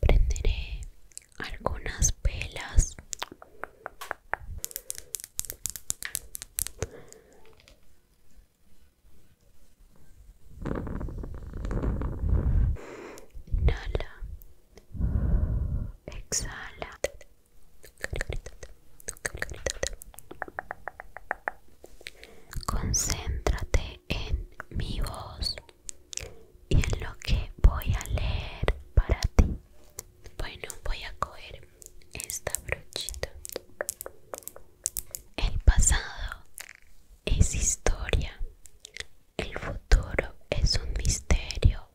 Prenderé algunas velas. Inhala. Exhala. Concéntrate en mi voz y en lo que voy a leer para ti. Bueno, voy a coger esta brochita. El pasado es historia. El futuro es un misterio.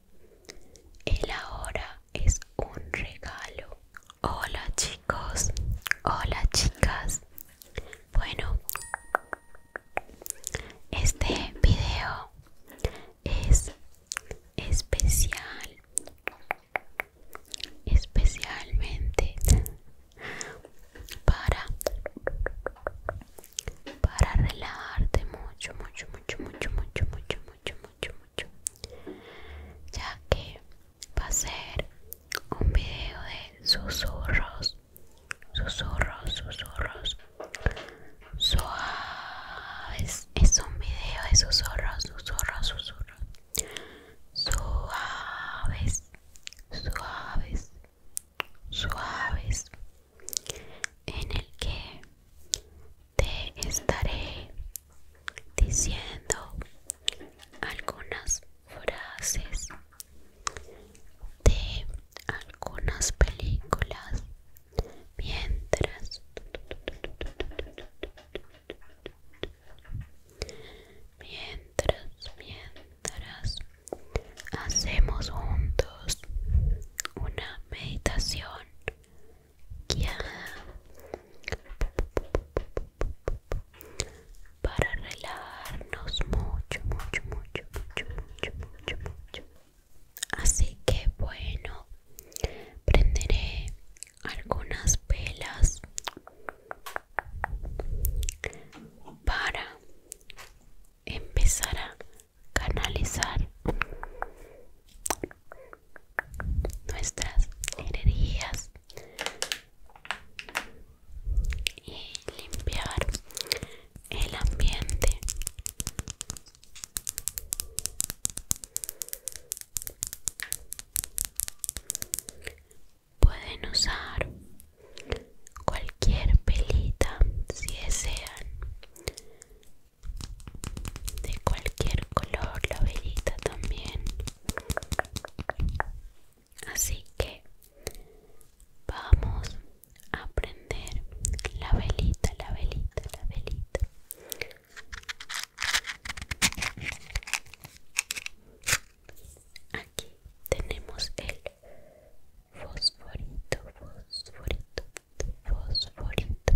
El ahora es un regalo. Hola chicos. Hola chicas. Bueno, este video es especial especialmente para para relajarte mucho mucho mucho mucho mucho mucho mucho mucho mucho ya que va a ser un video de susurros susurros, susurros suaves. Es un video de susurros, susurros, susurros suaves, suaves, suaves, en el que te estaré diciendo algunas frases de algunas películas mientras mientras mientras hacemos juntos una meditación guiada para relajarnos mucho mucho mucho mucho mucho mucho mucho así que bueno prenderé algunas velas para empezar a canalizar nuestras energías y limpiar el ambiente. Pueden usar cualquier pelita si desean, de cualquier color la velita también. Así que vamos aprender la velita, la velita, la velita. Aquí tenemos el fosforito, fosforito, fosforito.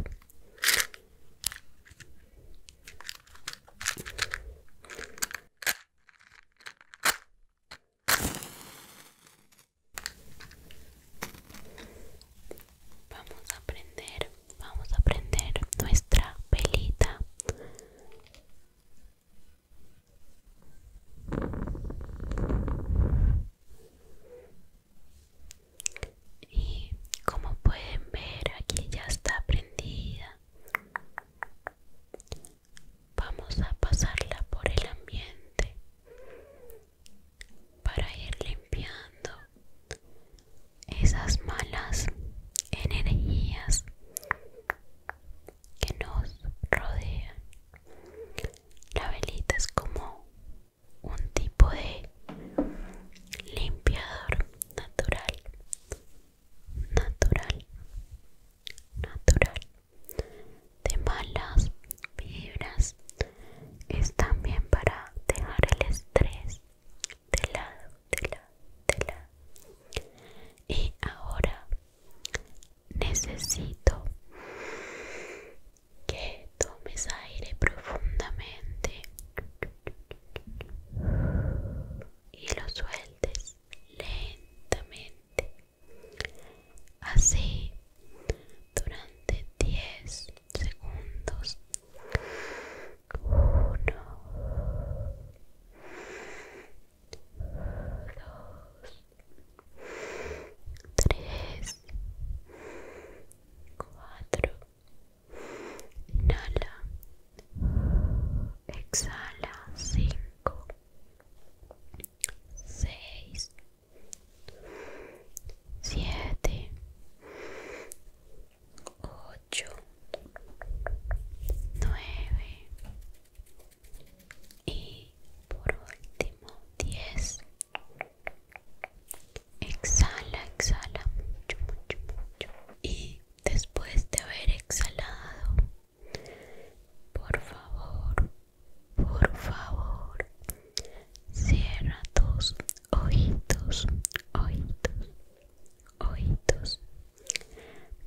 Vamos a prender, vamos a prender nuestra pelita. Y como pueden ver, aquí ya está prendida. Vamos a pasarla por el ambiente para ir limpiando esas malas energías que nos rodean. La velita es como un tipo de limpiador natural, natural, natural de malas vibras es también para dejar el estrés de lado, de lado, de lado. Y ahora necesito que tomes aire profundamente y lo sueltes lentamente Así durante 10 segundos. 1 2 3 4 Inhala. Exhala. 5 6 siete, ocho, nueve y por último diez. Exhala, exhala mucho, mucho, mucho. Y después de haber exhalado, por favor, por favor, cierra tus ojitos, ojitos, ojitos.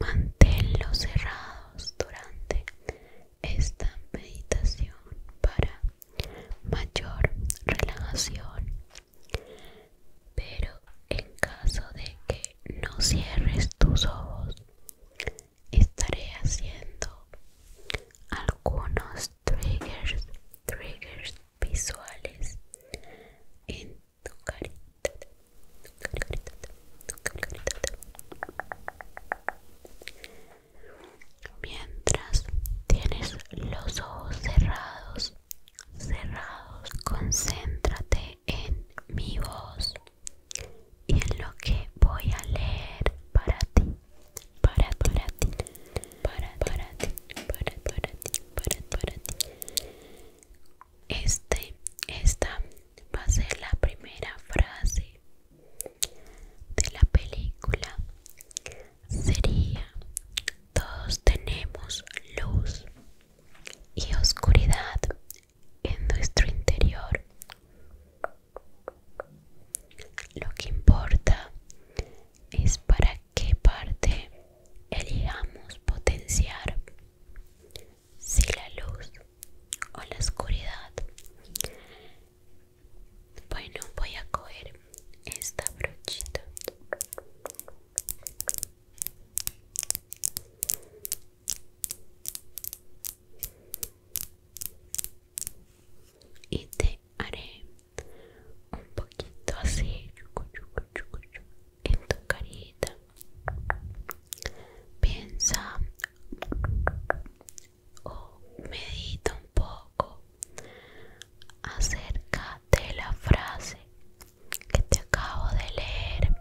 Manténlos cerrados durante esta meditación para mayor relajación. Pero en caso de que no cierres tus ojos, estaré haciendo algunos triggers triggers visuales en tu carita, mientras tienes los ojos cerrados cerrados concéntrate en mi voz y en lo que voy a leer para ti para para ti para para ti para para ti para ti este esta va a ser la primera frase de la película sería todos tenemos luz y oscuridad en nuestro interior lo que importa es para qué parte elijamos potenciar. Si la luz o la oscuridad. Bueno, voy a coger esta brochita y te haré un poquito así en tu carita piensa o medita un poco acerca de la frase que te acabo de leer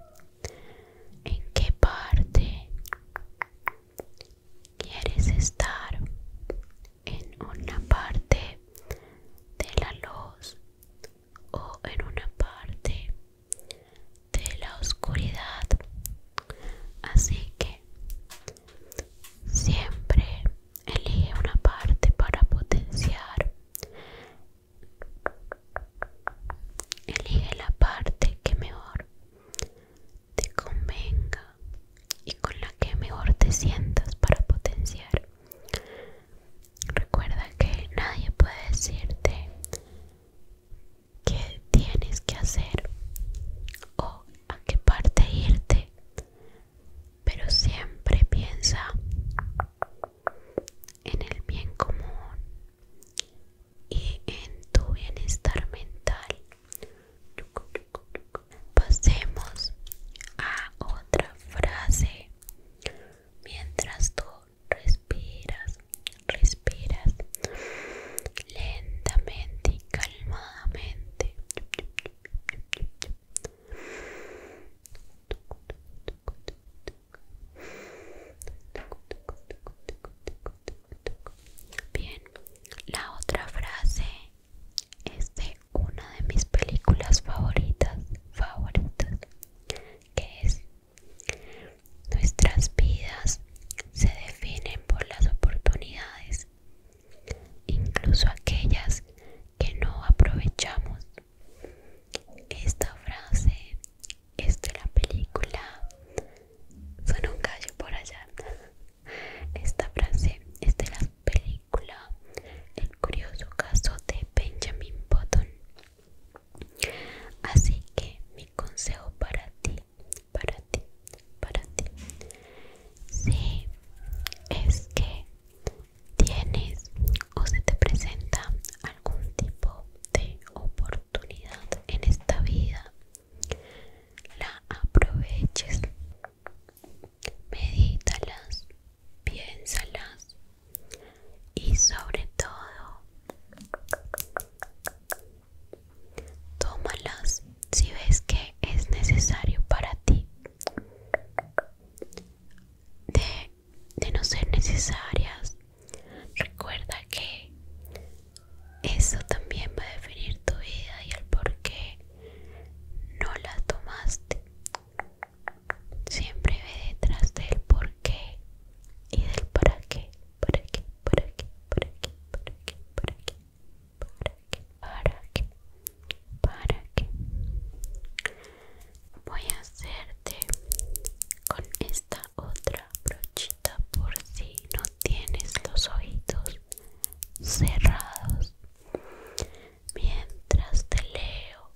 en qué parte quieres estar en una parte de la luz o en una parte de la oscuridad así que siempre elige una parte para potenciar elige la parte que mejor te convenga y con la que mejor te sientas para potenciar. Recuerda que nadie puede decirte qué tienes que hacer o a qué parte irte, pero siempre piensa en el bien común y en tu bienestar mental Pasemos a otra frase. Mientras tú respiras, respiras lentamente y calmadamente. Bien, la otra frase es de una de mis películas favoritas, favoritas, que es nuestras vidas se definen por las oportunidades, incluso aquellas que no aprovechamos. Esta frase es de la película Son un gallo por allá esta frase es de la película El curioso caso de Benjamin Button. Así que mi consejo para ti, para ti, para ti, es que tienes o se te presenta algún tipo de oportunidad en esta vida la aproveches. Medítalas, piénsalas y sobre todo tómalas si ves que es necesario para ti. De, de no ser necesarias, recuerda que eso también va a definir tu vida y el por qué no la tomaste. Siempre ve detrás del por qué y del para qué, para qué, para qué, para qué, para qué, para qué, para qué, para qué. Voy a hacerte con esta otra brochita por si no tienes los ojitos cerrados mientras te leo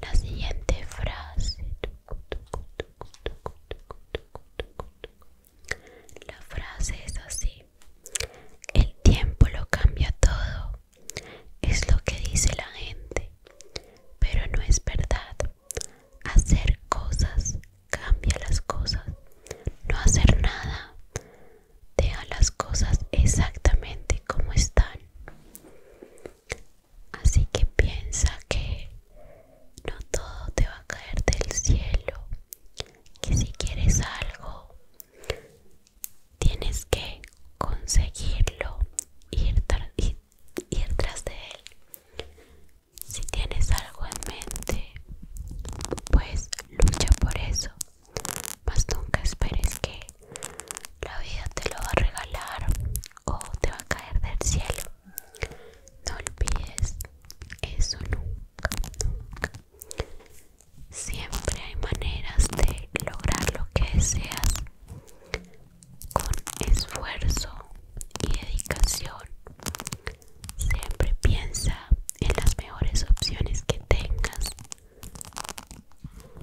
la siguiente frase la frase es así el tiempo lo cambia todo es lo que dice la gente pero no es verdad hacer cosas Cambia las cosas. No hacer nada. Deja las cosas exactamente como están. Así que piensa que no todo te va a caer del cielo. Que si quieres algo, tienes que conseguirlo, ir, ir tras de él. Si tienes algo en mente, pues lucha por eso. Mas nunca esperes que la vida te lo va a regalar o te va a caer del cielo. No olvides eso nunca, nunca. Siempre hay maneras de lograr lo que deseas con esfuerzo y dedicación Siempre piensa en las mejores opciones que tengas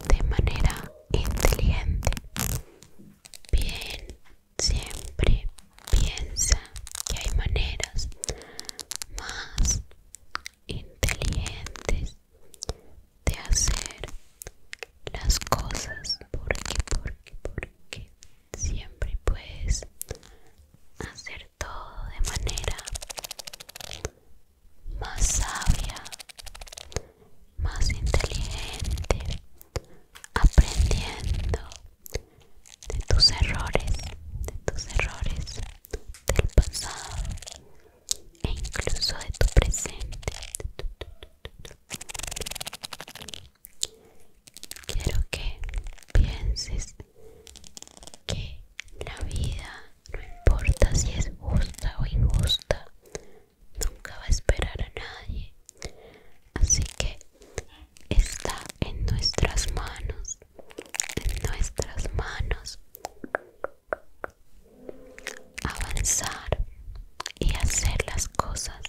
de manera inteligente. Bien, siempre piensa que hay maneras más inteligentes de hacer las cosas porque, porque, porque siempre puedes hacer todo de manera más sabia, más inteligente, aprendiendo de tus errores, de tus errores del pasado e incluso de tu presente quiero que pienses que la vida, no importa si es justa o injusta, nunca va a esperar a nadie. Así que está en nuestras manos, en nuestras manos avanzar y hacer las cosas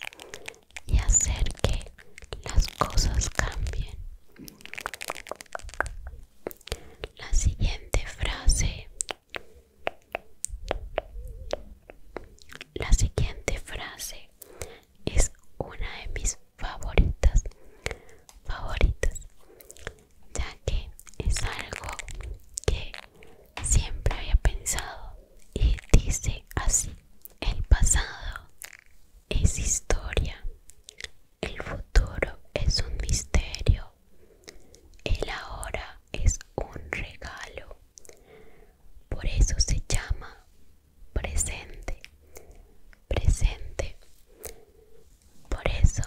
y hacer que las cosas cambien la siguiente frase. La siguiente frase es una de mis favoritas, favoritas, ya que es algo que siempre había pensado y dice así, el pasado es historia, el futuro es un misterio, el ahora es un regalo. Por eso se llama presente, presente. Por eso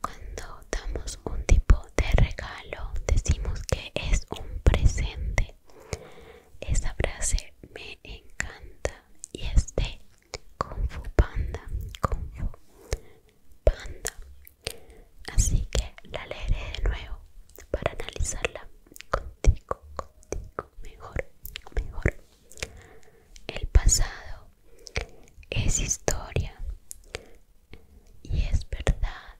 cuando damos un tipo de regalo decimos que es un presente. Esa frase me encanta y es de Kung Fu Panda, Kung Fu Panda. Así que la leeré de nuevo para analizarla contigo, contigo, mejor, mejor. El pasado es historia y es verdad.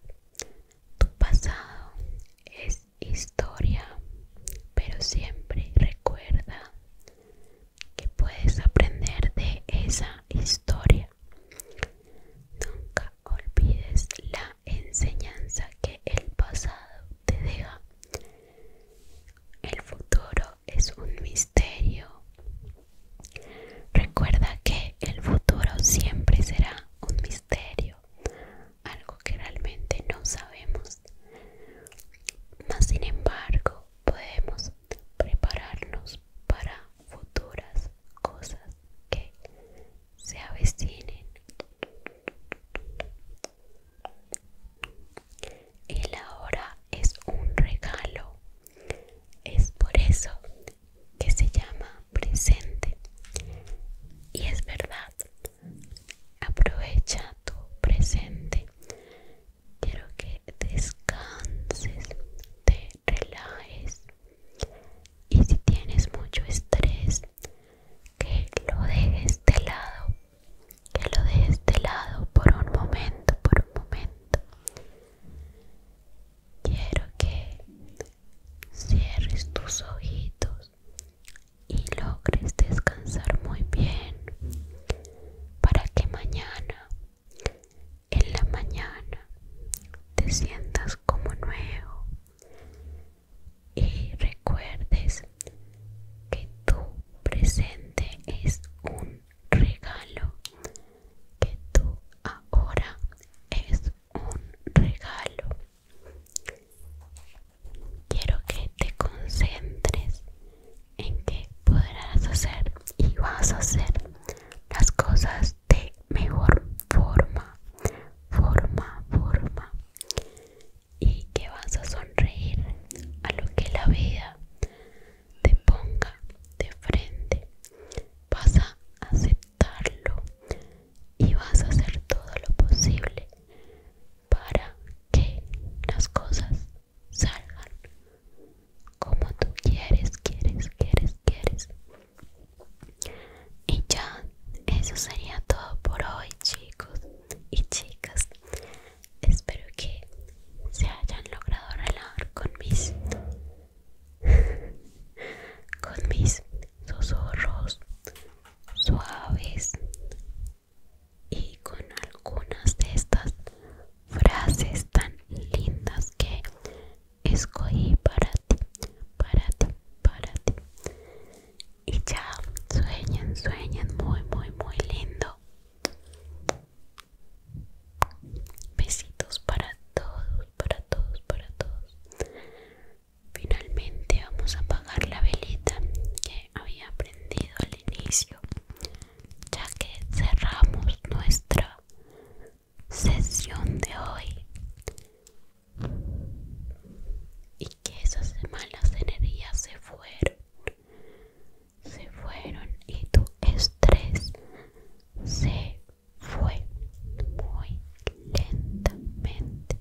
Tu pasado es historia, pero siempre recuerda que puedes aprender de esa historia. Nunca olvides la enseñanza que el pasado te deja. El futuro es un misterio. Recuerda que el futuro siempre será un misterio, algo que realmente no sabemos mas sin embargo podemos prepararnos para futuras cosas que se avecinen. El ahora es un regalo, es por eso que se llama presente. Y es verdad Aprovecha tu presente. Quiero que descanses, te relajes. Y si tienes mucho estrés, que lo dejes de lado. Que lo dejes de lado por un momento, por un momento. Quiero que cierres tus ojitos y logres descansar muy bien para que mañana en la mañana te sientas como nuevo y recuerdes que tu presente es un regalo, que tu ahora es un regalo quiero que te concentres en que podrás hacer y vas a hacer las cosas de mejor forma, forma, forma. Y que vas a sonreír a lo que la vida te ponga de frente. Vas a aceptarlo y vas a hacer todo lo posible para que las cosas salgan como tú quieres, quieres, quieres, quieres. Y ya, eso sería todo por hoy, chicos y chicas. Espero que se hayan logrado relajar con mis con mis susurros suaves y con algunas de estas frases tan lindas que escogí para ti, para ti, para ti. Y ya, sueñen, sueñen muy, muy, muy lindo. Besitos para todos, para todos, para todos. Finalmente vamos a apagar la velita que había al inicio, ya que cerramos nuestra sesión de hoy y que esas malas energías se fueron, se fueron y tu estrés se fue muy lentamente.